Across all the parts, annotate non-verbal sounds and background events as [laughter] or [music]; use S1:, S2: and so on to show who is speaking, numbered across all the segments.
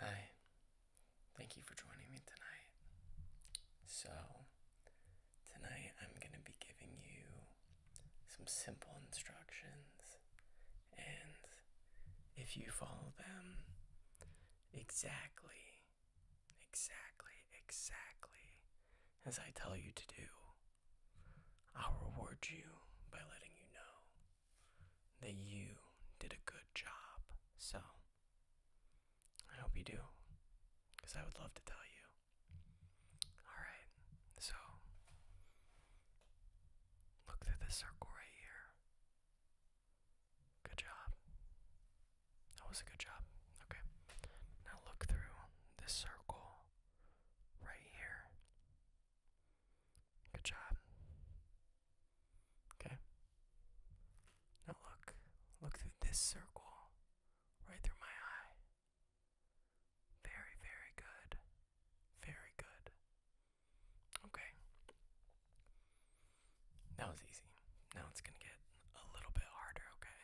S1: Hi, thank you for joining me tonight. So, tonight I'm going to be giving you some simple instructions, and if you follow them exactly, exactly, exactly as I tell you to do. I'll reward you by letting you know that you did a good job. So, I hope you do, because I would love to tell you. Alright, so look through this circle right here. Good job. That was a good job. Okay. Now look through this circle right here. Good job. Okay. Now look. Look through this circle right through my eye. Very, very good. Very good. Okay. That was easy. Now it's going to get a little bit harder, okay?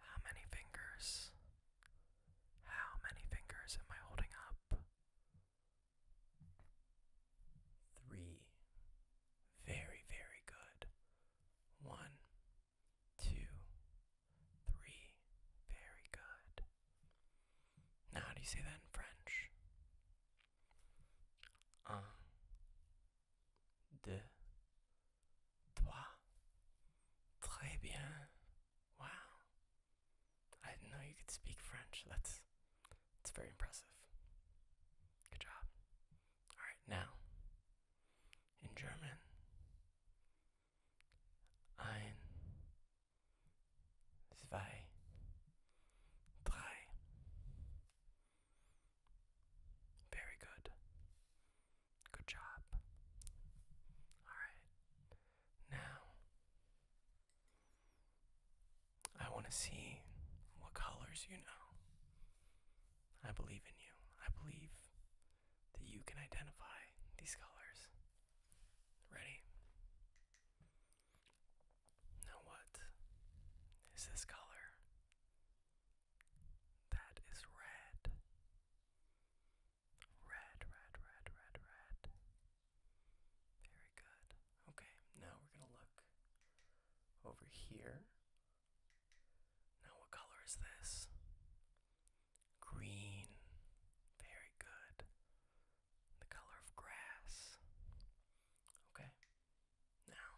S1: How many fingers? How many fingers am I holding up? Three. Very, very good. One, two, three. Very good. Now, how do you say that in French? 1, 2, 3. Très bien. Wow. I didn't know you could speak French. That's, that's very impressive. Good job. Alright, now, in German, ein, zwei, drei. Very good. Good job. Alright. Now, I want to see what colors you know. I believe in you. I believe that you can identify these colors. Ready? Now, what is this color? That is red. Red, red, red, red, red. Very good. Okay, now we're going to look over here. Now, what color is this? Green. Very good. The color of grass. Okay, now,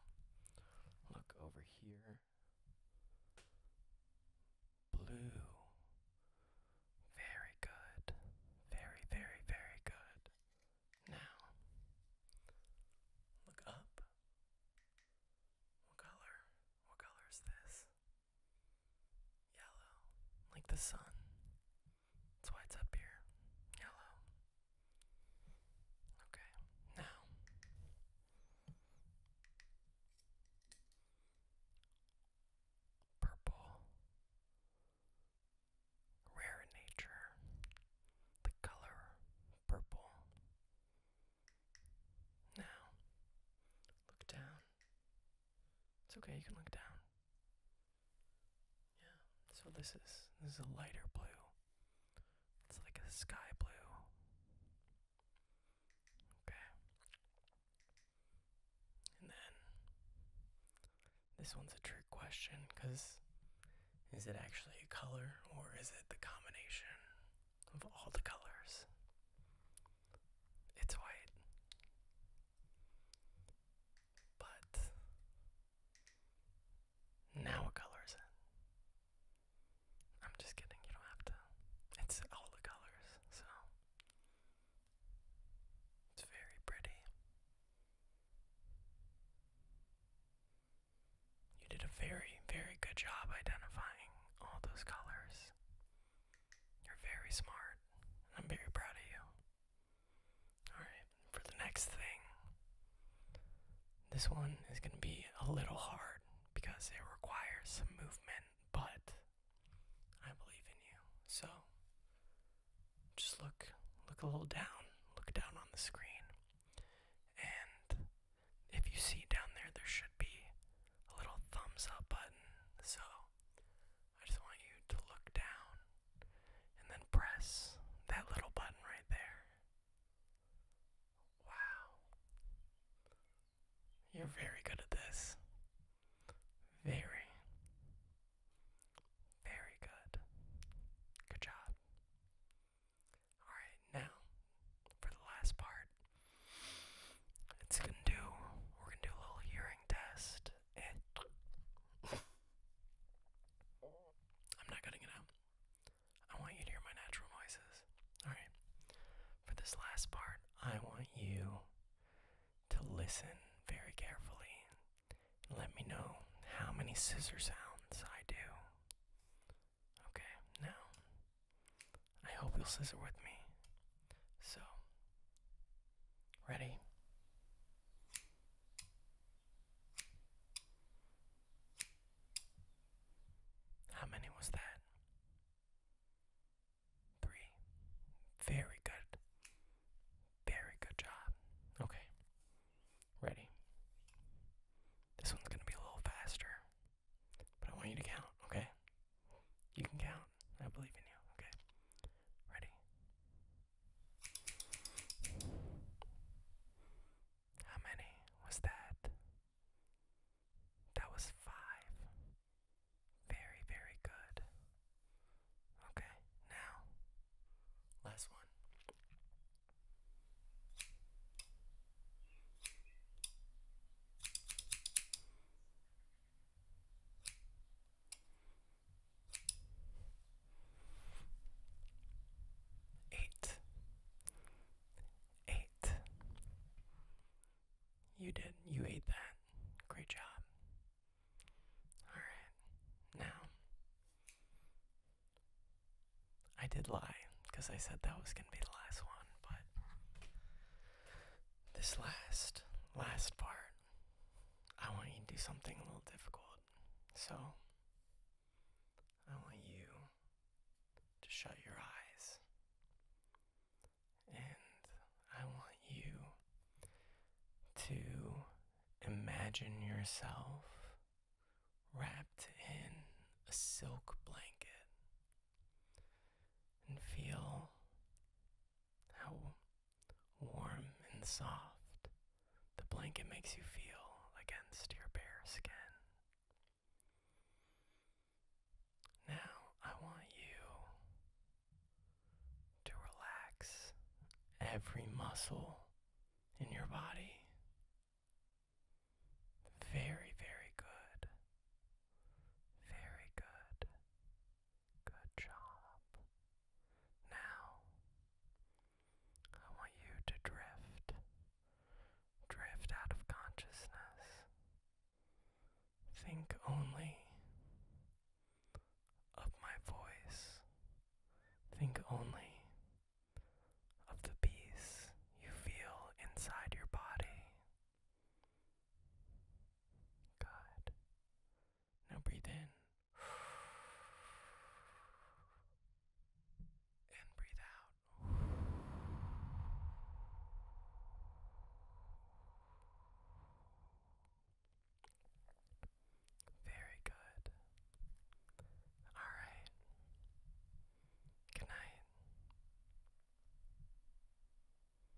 S1: look over here. Blue. Very good. Very, very, very good. Now, look up. What color? What color is this? Yellow, like the sun. That's why it's up here. Yellow. Okay, now. Purple. Rare in nature. The color purple. Now, look down. It's okay, you can look down. Yeah. So this is this is a lighter blue. It's like a sky blue. Okay. And then this one's a trick question cuz is it actually a color or is it the combination of all the colors? It's white. But now what color is it? I'm just kidding, you don't have to. It's all the colors, so it's very pretty. You did a very, very good job identifying all those colors. You're very smart. And I'm very proud of you. Alright, for the next thing, this one is going to be a little hard because it requires some movement, but I believe in you. So just look look a little down, look down on the screen. And if you see down there there should be a little thumbs up button. So I just want you to look down and then press that little button right there. Wow. You're very good at this. Very, very good. Good job. Alright, now for the last part. It's gonna do we're gonna do a little hearing test i [laughs] I'm not cutting it out. I want you to hear my natural noises. Alright. For this last part, I want you to listen very carefully let me know how many scissor sounds I do. Okay, now, I hope you'll scissor with me. So, ready? How many was that? Three. Very good. Very good job. Okay. Ready? This one's going to be a little faster, but I want you to count, okay? You can count. I believe in you, okay? Ready? How many was that? That was five. Very, very good. Okay, now, last one. Eight. Eight. You did. You ate that. Great job. Alright. Now, I did lie because I said that was going to be the last one, but this last, last part I want you to do something a little difficult. So, I want you to shut your eyes. And I want you to imagine yourself wrapped in a silk blanket and feel how warm and soft. The blanket makes you feel against your bare skin. Now, I want you to relax every muscle in your body. Very, very good. Very good. Good job. Now, I want you to drift. Drift out of consciousness. Think only of my voice. Think only of the peace you feel inside your body. Good. Now breathe in. And breathe out. Very good. All right. Good night.